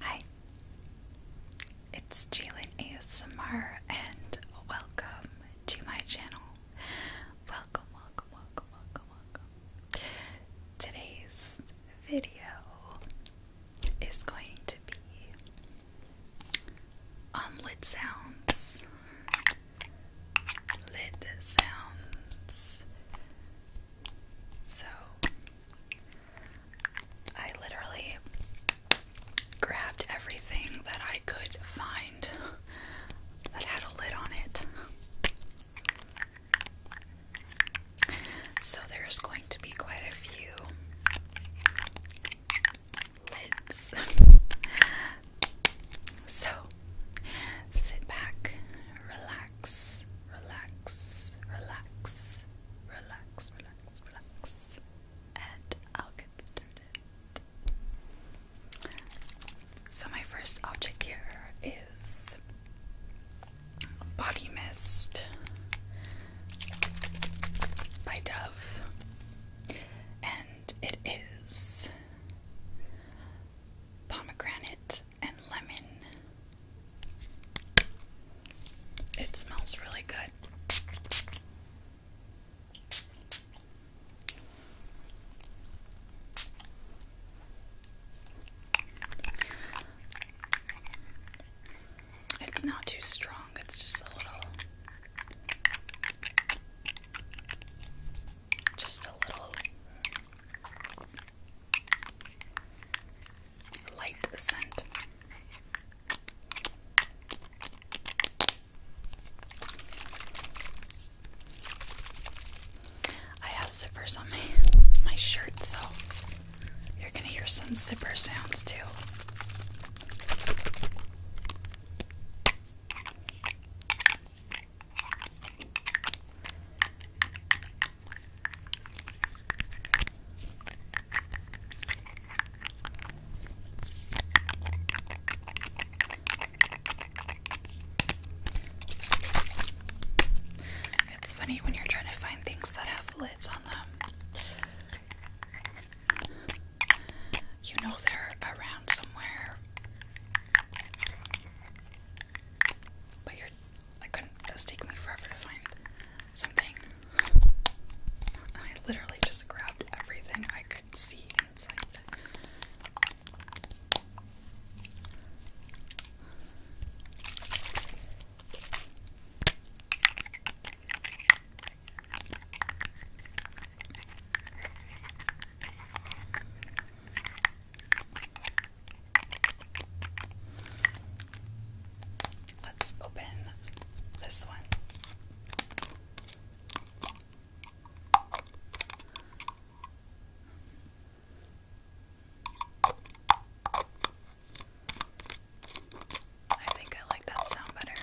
Hi, it's Jalen ASMR, and welcome to my channel. Welcome, welcome, welcome, welcome, welcome. Today's video is going to be on sounds. Lid sounds. So I literally grabbed everything that I could find that had a lid on it. So there's going to be quite a few lids. so sit back, relax relax, relax, relax, relax, relax, relax, and I'll get started. So, my first object here is Body Mist by Dove, and it is pomegranate and lemon. It smells really good. It's not too strong, it's just a little just a little light scent. I have zippers on my my shirt, so you're gonna hear some zipper sounds too. It's funny when you're trying to find things that have lids on them. You know they're around somewhere. But you're, I couldn't, it was taking me forever to find something. I literally just grabbed everything I could see inside. Let's open this one. I think I like that sound better.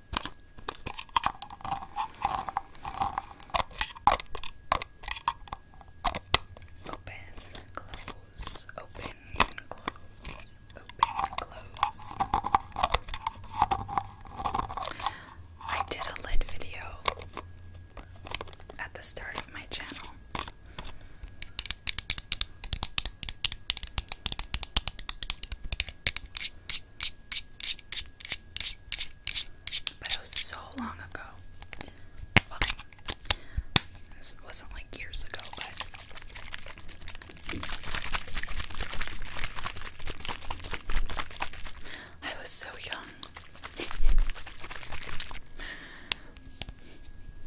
Open, close, open, close, open, close. I did a lid video at the start of my channel. But it was so long ago. Well, wasn't like years ago, but. I was so young.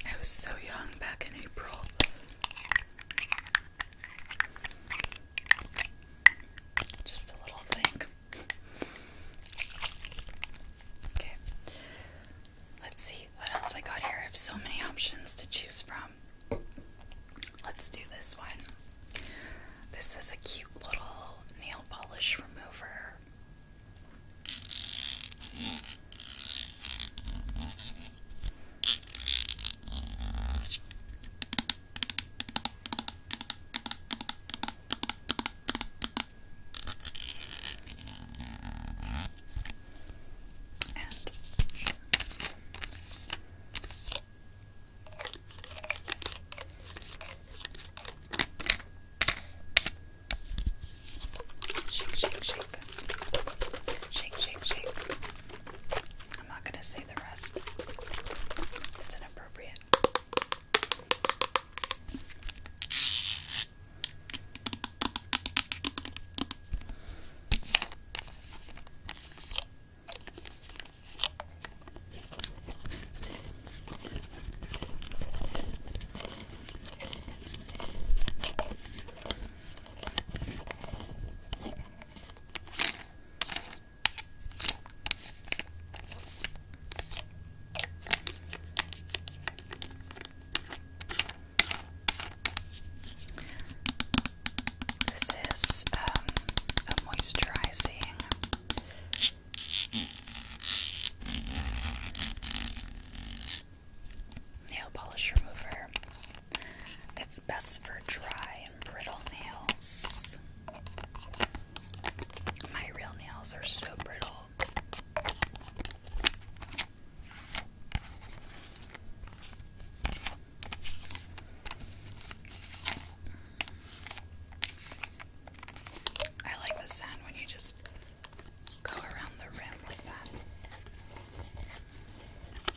I was so young back in April. Just a little thing. Okay. Let's see what else I got here. I have so many options to choose from. Let's do this one. This is a cute little nail polish remover. And Shake, shake, shake. Shake, shake, shake. I'm not going to say the rest, it's inappropriate. This is um, a moisturizing nail polish remover it's best for dry and brittle nails. My real nails are so brittle. I like the sound when you just go around the rim with that.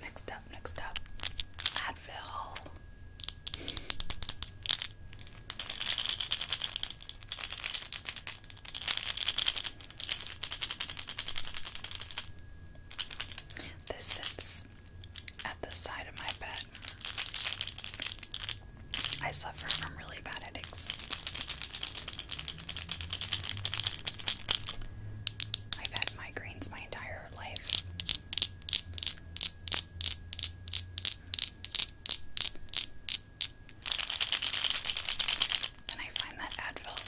Next up, next up, Advil. This sits at the side of my bed. I suffer from really bad headaches. I've had migraines my entire life. And I find that Advil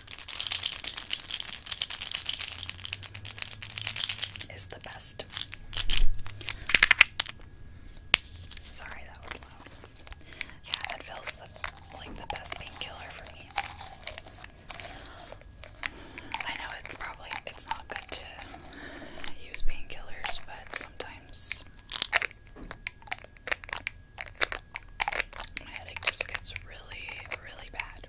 is the best. Sorry, that was loud. Yeah, Advil's the like the best painkiller for me. I know it's probably it's not good to use painkillers, but sometimes my headache just gets really, really bad.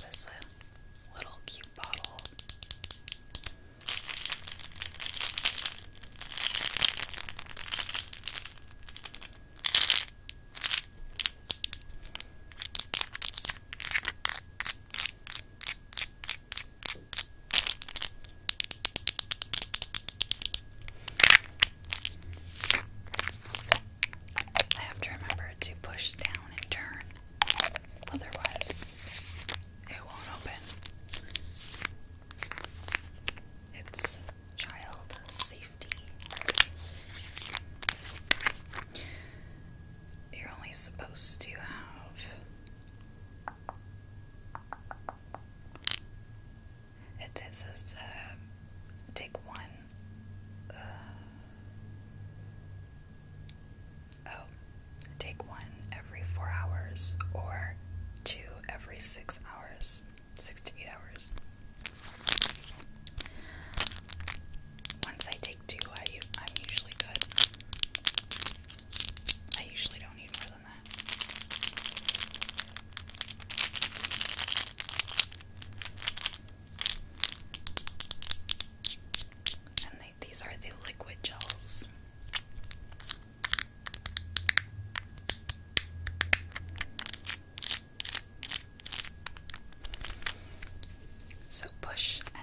This uh, little cute bottle. I have to remember to push down and turn Otherwise, it won't open. It's child safety. You're only supposed to have. It says take one. Uh, Oh, take one every four hours or two every six hours, six to eight hours. Once I take two, I, I'm usually good. I usually don't need more than that. And they these are the liquid gels. So push and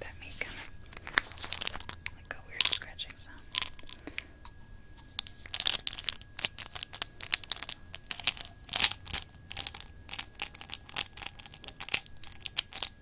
That made kind of like a weird scratching sound. Okay.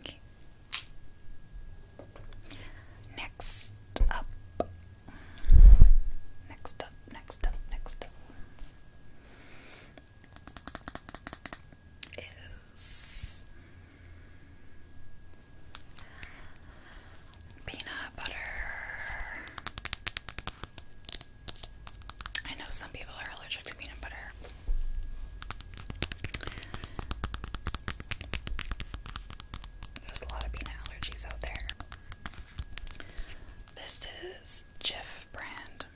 Okay. Next up. Next up, next up, next up is peanut butter I know some people are allergic to peanut butter. There's a lot of peanut allergies out there. This is Jif brand.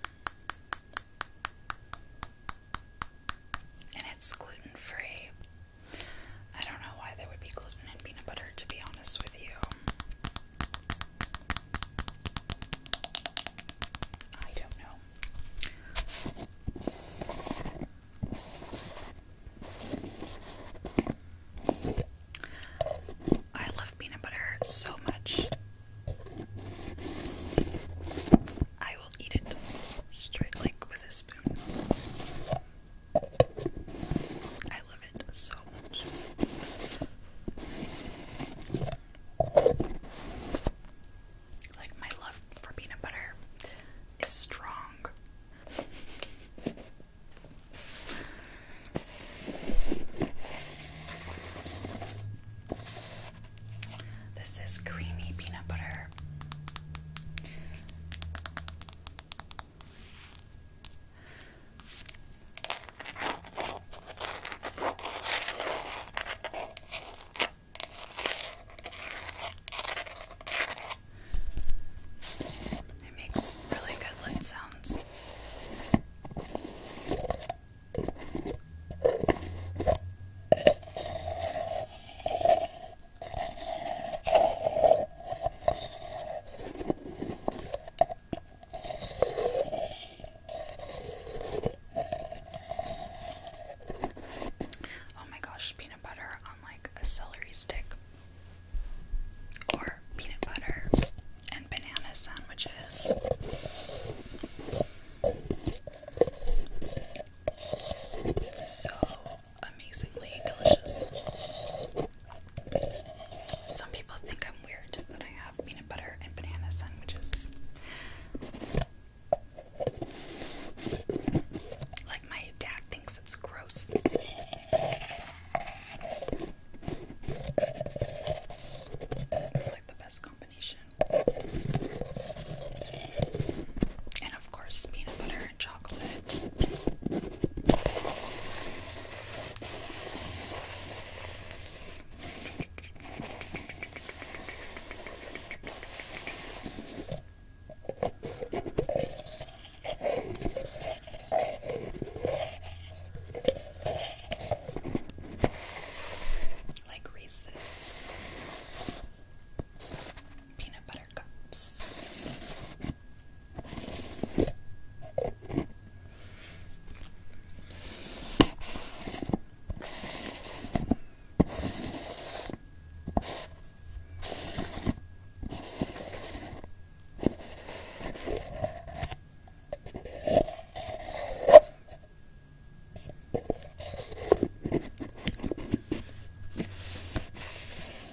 And it's gluten free. I don't know why there would be gluten in peanut butter, to be honest with you. I don't know. I love peanut butter so much. I will eat it straight like with a spoon. I love it so much. Like, my love for peanut butter is strong. This is creamy peanut butter. It makes really good lid sounds. Oh my gosh, peanut butter on like a celery stick or peanut butter and banana sandwiches. So amazingly delicious. Some people think I'm weird that I peanut butter and banana sandwiches. Like my dad thinks it's gross. It's like the best combination. And of course, peanut butter and chocolate. Like Reese's peanut butter cups.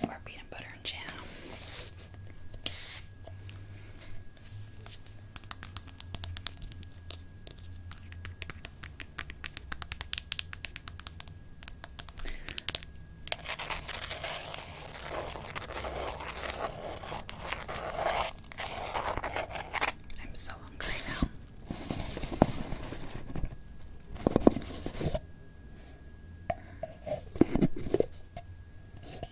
Or peanut butter and jam. I'm so hungry now.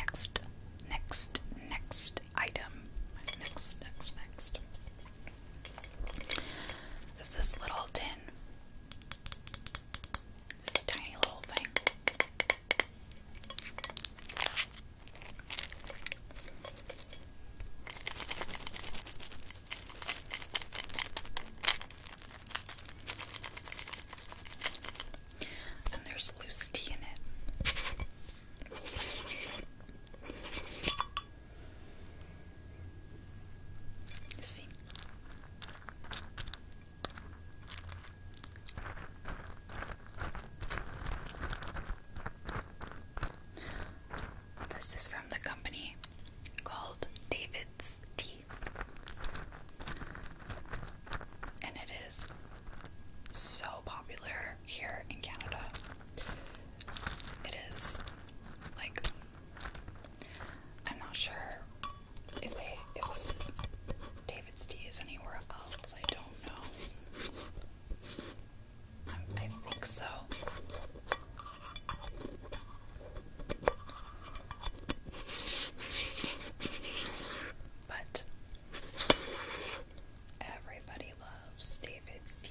Next, next, next item. Next, next, next. Is this little tin? It's a tiny little thing. And there's loose in it. See? This is from the company called David's Tea, and it is so popular here in Canada. It is like, I'm not sure if David's tea is anywhere else, I don't know. Um, I think so. But everybody loves David's tea.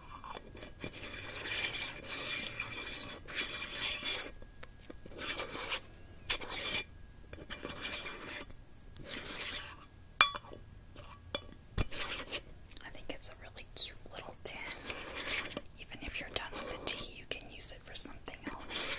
I think it's a really cute little tin. Even if you're done with the tea, you can use it for something else.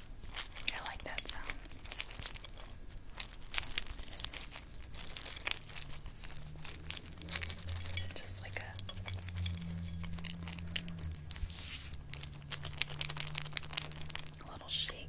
I like that sound. Just like a little shake.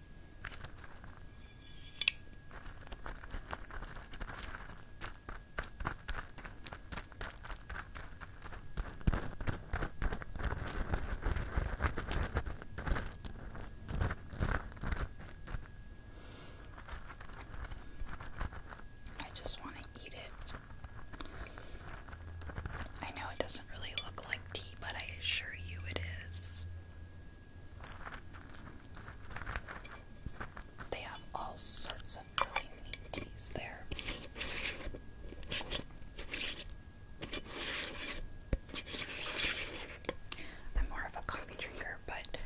I just want to eat it. I know it doesn't really look like tea, but I assure you it is. They have all sorts of really neat teas there. I'm more of a coffee drinker, but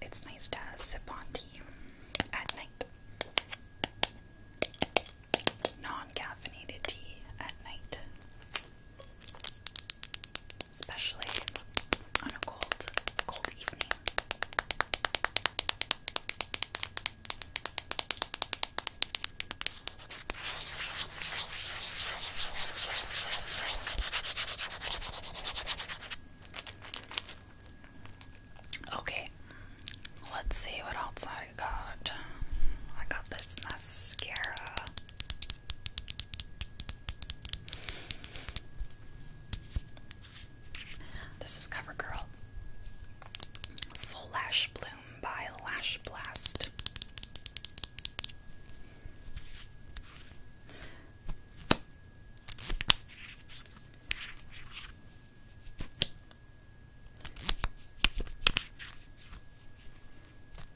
it's nice to sip on tea at night. Non caffeinated tea at night especially on a cold, cold evening. Okay, let's see what else I got. I got this mascara. This is CoverGirl Full Lash Bloom by Lash Blast.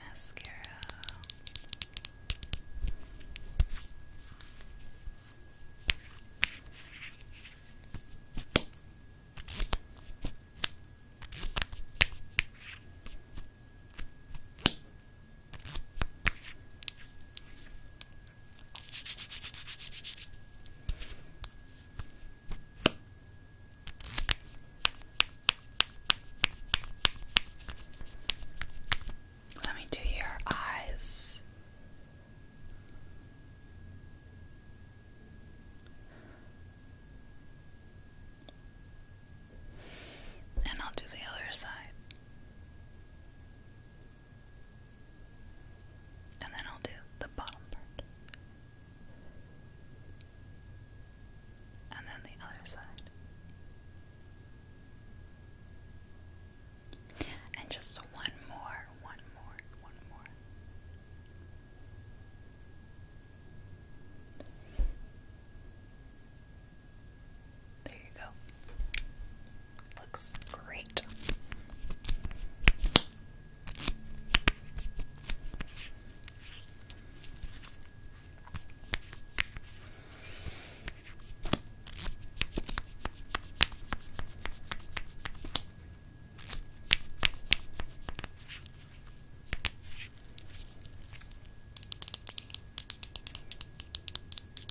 mascara. Let me do your eyes. And I'll do the other side. And then I'll do the bottom part and then the other side. And just one more, one more, one more. There you go. Looks great.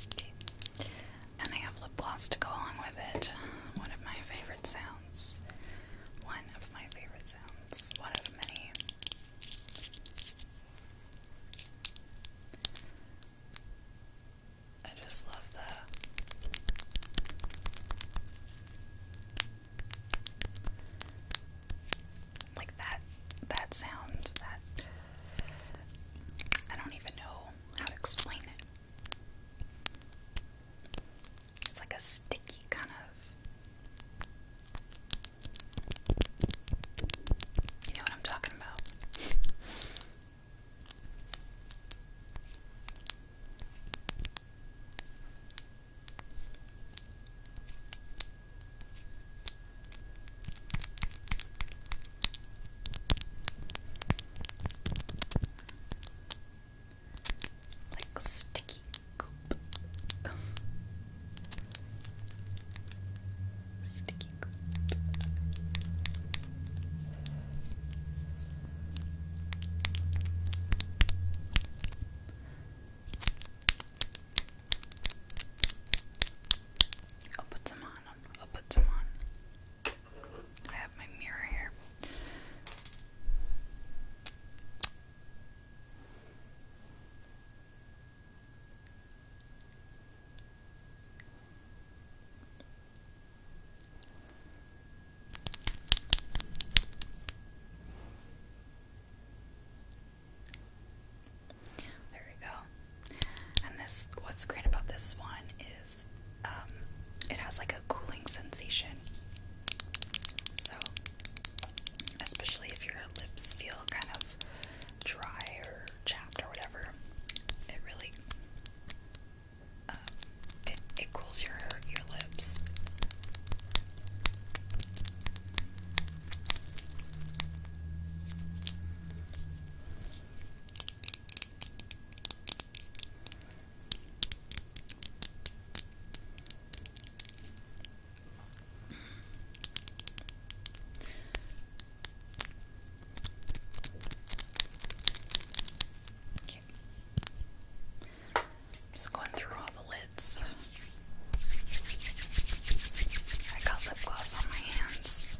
Okay. And I have lip gloss to go along with it. One of my favorite sounds. One of my favorite sounds. One of many. I just love that. Like that that sound that I don't even know how to explain it. It's like a sticky kind of you know what I'm talking about. Like sticky Sticky I'll put some on. I'll put some on. I have my mirror here. There we go. And this, what's great about this one is um, it has like a cooling sensation. So, especially if your lips feel kind of dry or chapped or whatever, it really um, it, it cools your your lips just going through all the lids. I got lip gloss on my hands.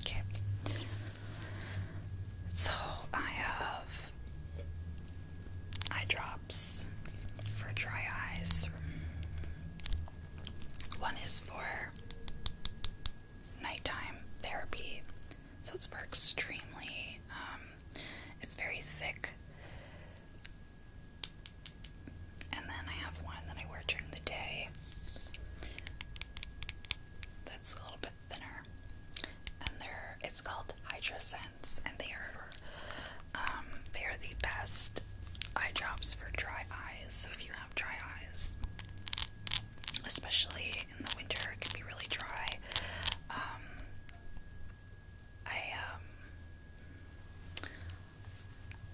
Okay. So I have eye drops for dry eyes. One is for nighttime therapy. So it's for extremely, um, it's very thick. And then I have one that I wear during the day that's a little bit thinner, and they're it's called Hydra Sense, and they are um, they are the best eye drops for dry eyes. So if you have dry eyes, especially in the winter, it can be really dry. Um, I um,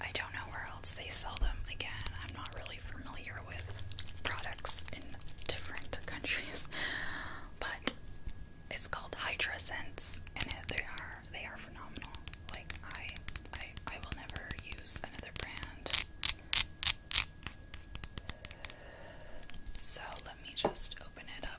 I don't know where else they sell them. Again, I'm not really familiar with products in different countries, but it's called Hydra Sense, and it, they are they are phenomenal. Like I, I, I will never use another brand. So let me just open it up.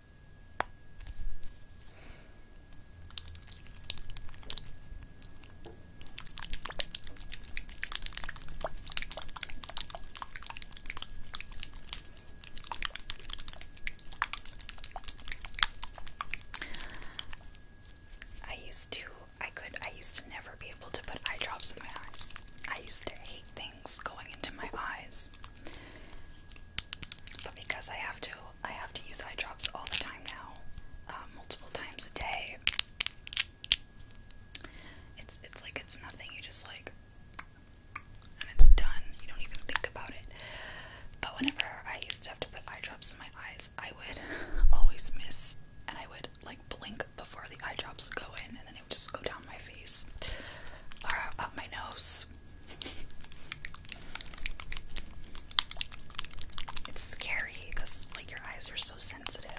I used to, I could, I used to never be able to put eye drops in my eyes. I used to hate things going into my eyes. But because I have to I have to use eye drops all the time now, um, multiple times a day. It's it's like it's nothing. You just like, and it's done. You don't even think about it. But whenever I used to have to put eye drops in my eyes, I would always miss, and I would like blink before the eye drops would go in, and then it would just go down my face or up my nose. It's scary because like your eyes are so sensitive.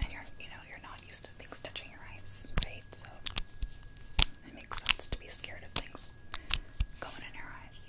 And you're you know, you're not used to things touching your eyes, right? So it makes sense to be scared of things going in your eyes.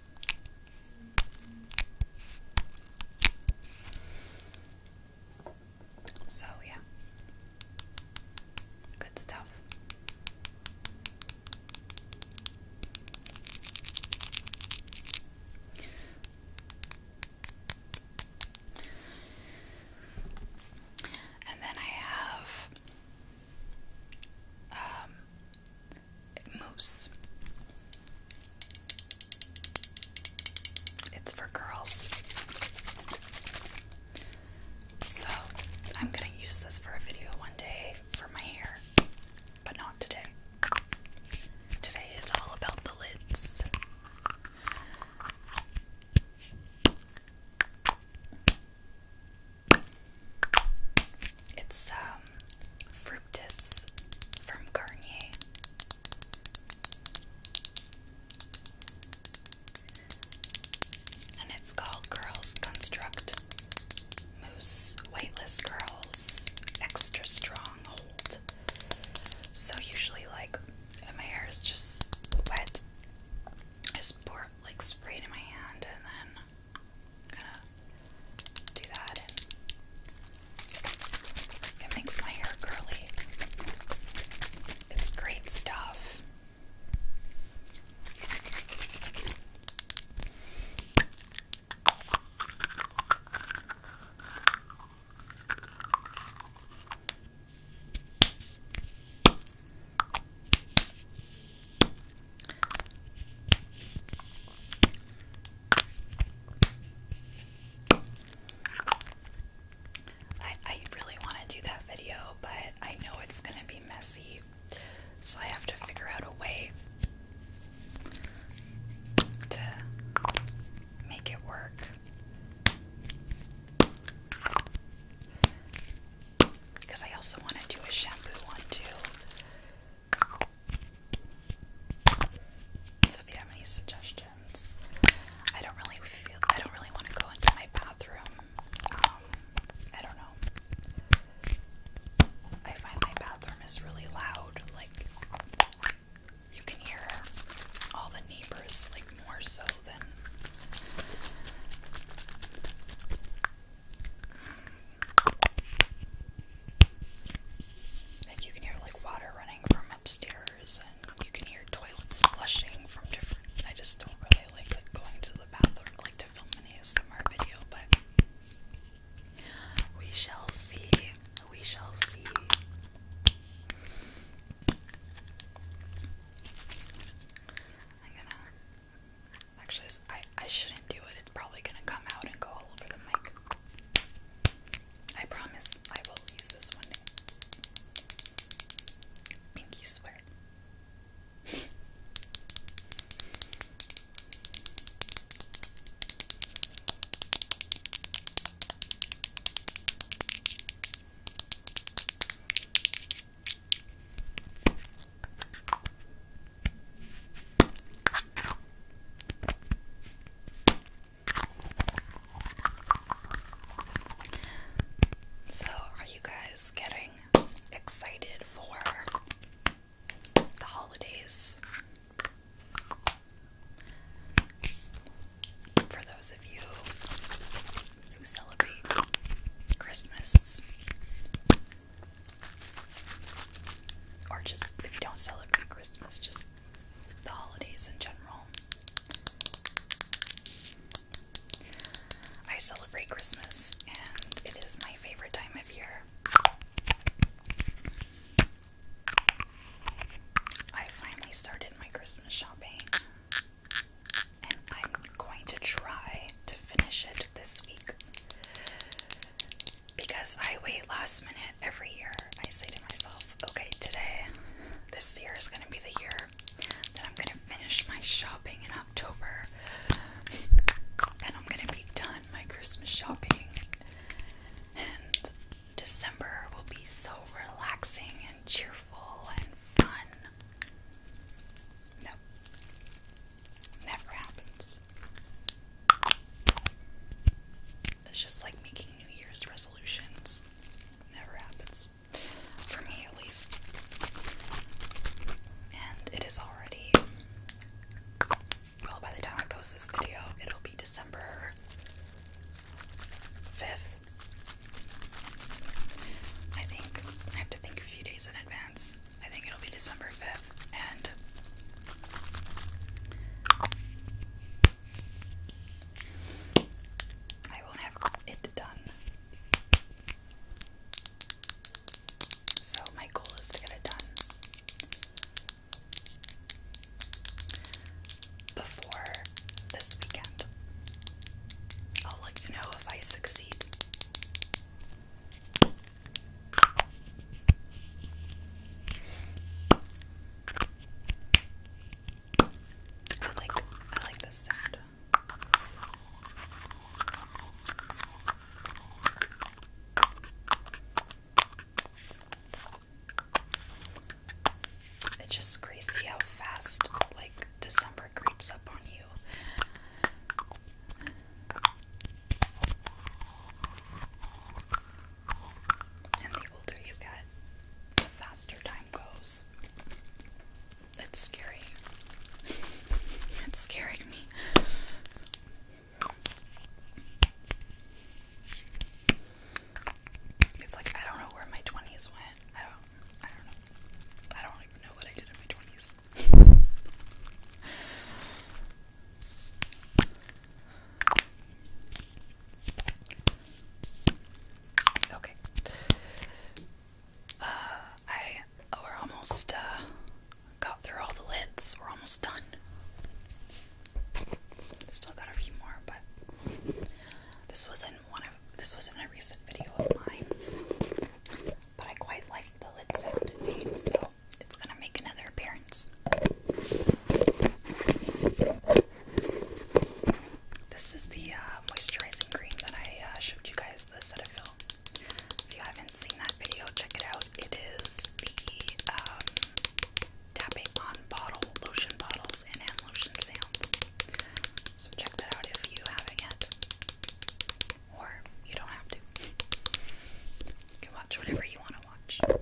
So, yeah, good stuff. And then I have um, mousse. It's for girls. So, I'm gonna use this for a video one day for my hair, but not today. Today is all about the lids. It's um fructis from Garnier. And it's called Girls Construct Mousse Weightless Curls Extra Strong Hold. So usually like my hair is just wet. I just pour like spray in my hand and then kind of do that, it makes my hair curly. It's great stuff. I, really want to do that video, but I know it's going to be messy, so I have to figure out a way to make it work. Because I also want to do a shampoo one too. So if you have any suggestions, I don't really feel I don't really want to go into my bathroom. Um, I don't know. I find my bathroom is really loud. Like you can hear all the neighbors like more so than like you can hear like water running from upstairs, and you can hear toilets flushing from different. I just don't really like, going to the bathroom, like to film an ASMR video, but we shall see. We shall see. I'm gonna Actually, I, I shouldn't do it. It's probably gonna come out and go all over the mic. I promise I will use this one Pinky swear. So, are you guys getting excited for the holidays? For those of you who celebrate Christmas, or just if you don't celebrate Christmas, just the holidays in general. I celebrate Christmas and it is my favorite time of year. I finally started my Christmas shopping and I'm going to try to finish it this week because I wait last minute every year, I say to myself, okay, today, this year is going to be the year that I'm going to finish my shopping in October. And I'm going to be done my Christmas shopping. And December will be so relaxing and cheerful and fun. No. Never happens. It's just like making New Year's resolutions. Never happens. For me, at least. And it is already. Well, by the time I post this video, it'll be December 5th. I think. I have to think a few days in advance. I think it'll be December 5th, and I won't have it done. So, my goal is to get it done before this weekend. I'll let you know if I succeed. I like I like this sound. It's just crazy how fast like December creeps up on you. And the older you get, the faster time goes. It's scary. it's scaring me. It's like I don't know where my twenties went. I don't. I don't know. I don't even know what I did in my twenties okay. Uh, I oh, we're almost uh, got through all the lids. We're almost done. Still got a few more, but this was in one of this was in a recent video of mine but I quite like the lid sound so it's gonna make another appearance. This is the uh, moisturizing cream that I uh, showed you guys, the Cetaphil. If you haven't seen that video, check it out. It is the um, tapping on bottle, lotion bottles, and lotion sounds. So check that out if you haven't yet or you don't have to. You can watch whatever you want to watch.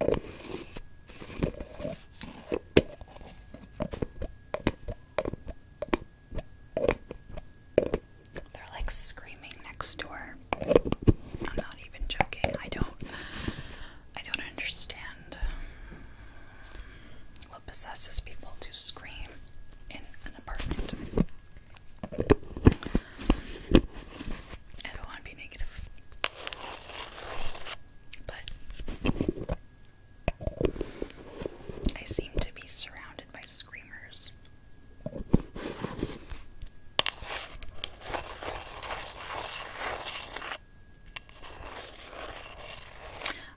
They're like screaming next door. I'm not even joking. I don't I don't understand what possesses people to scream in an apartment. I don't want to be negative. But I seem to be surrounded by screamers.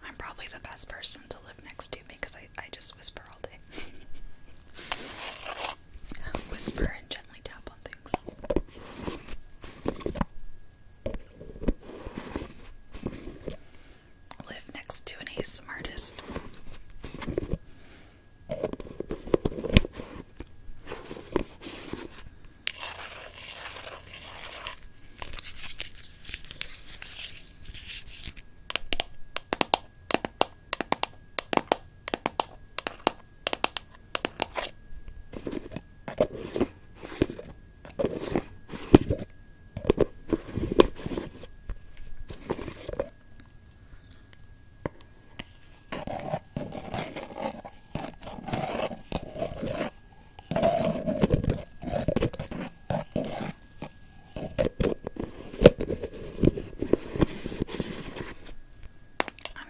I'm probably the best person to live next to because I, I just whisper all day. whisper and gently tap on things. Live next to an ASMR artist. I'm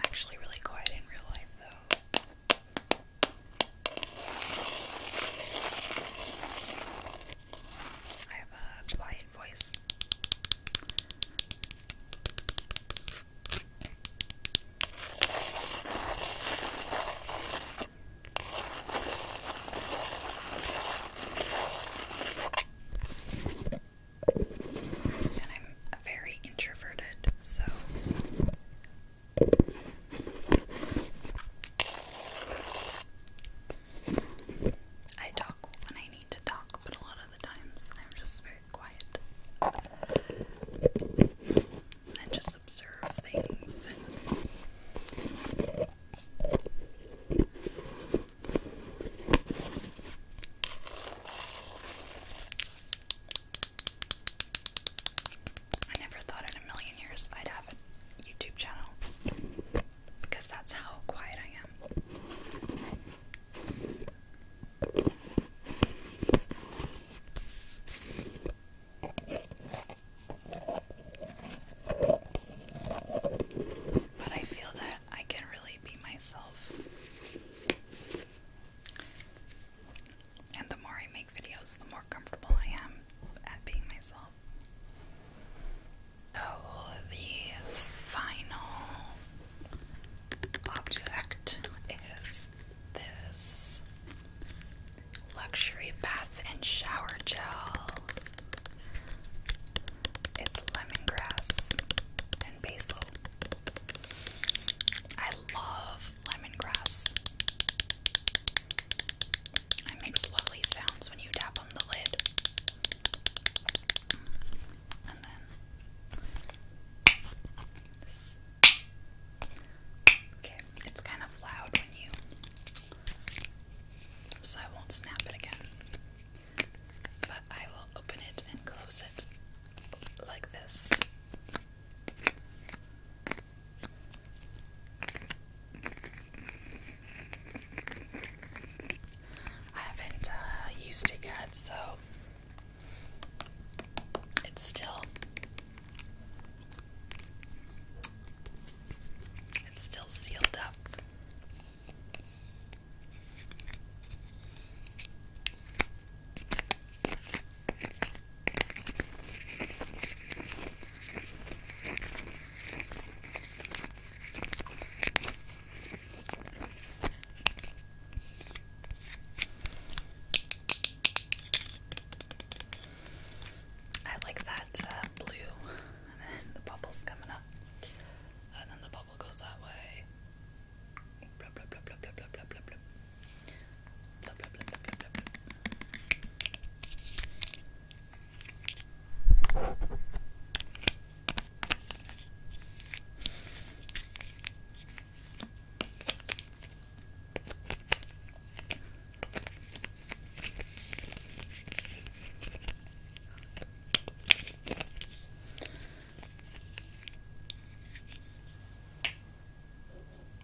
actually really quiet in real life though. I have a quiet voice. And I'm very introverted, so I talk when I need to talk, but a lot of the times I'm just very quiet and just observe things. I never thought in a million years I'd have a YouTube channel because that's how quiet I am. But I feel that I can really be myself and the more I make videos, the more comfortable I am at being myself. So, the final object is this luxury bath and shower gel. It's lemongrass and basil. I love lemongrass. It makes lovely sounds when you tap on the lid. And then Okay, it's kind of loud when you. So I won't snap it again. But I will open it and close it like this. I haven't uh, used it yet, so it's still it's still sealed up. I like that uh, blue, and then the bubbles coming up, and then the bubble goes that way.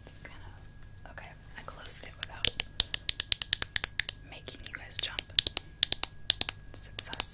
It's kind of okay. I closed it without making you guys jump. Success.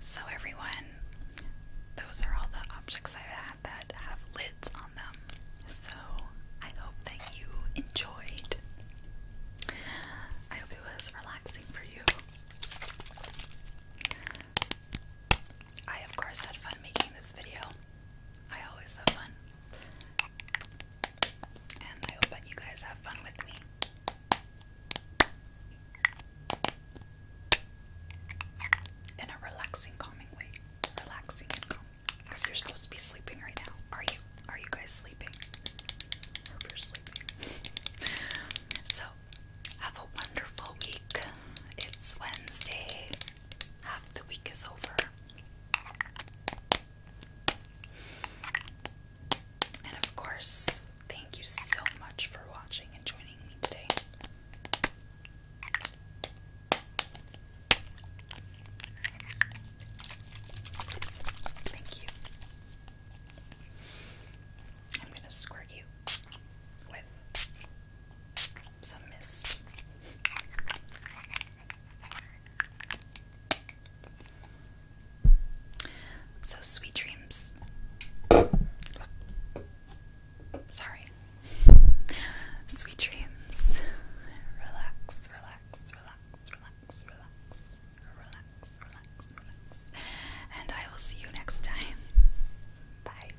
So, everyone, those are all the objects I've had that have lids on them. So, I hope that you enjoyed. I hope it was relaxing for you. I, of course, had fun making this video. I always have fun. And I hope that you guys have fun with me. In a relaxing, calming way. Relaxing you're supposed to be sleeping right now. Are you? Are you guys sleeping? I sleeping. so, have a wonderful week. It's Wednesday half the week is over. And of course, thank you so much for watching and joining me today. Thank you. I'm going to squirt you with some mist. So, sweet dreams. Sorry. Sweet dreams. Relax, relax, relax, relax, relax, relax, relax, relax. And I will see you next time. Bye.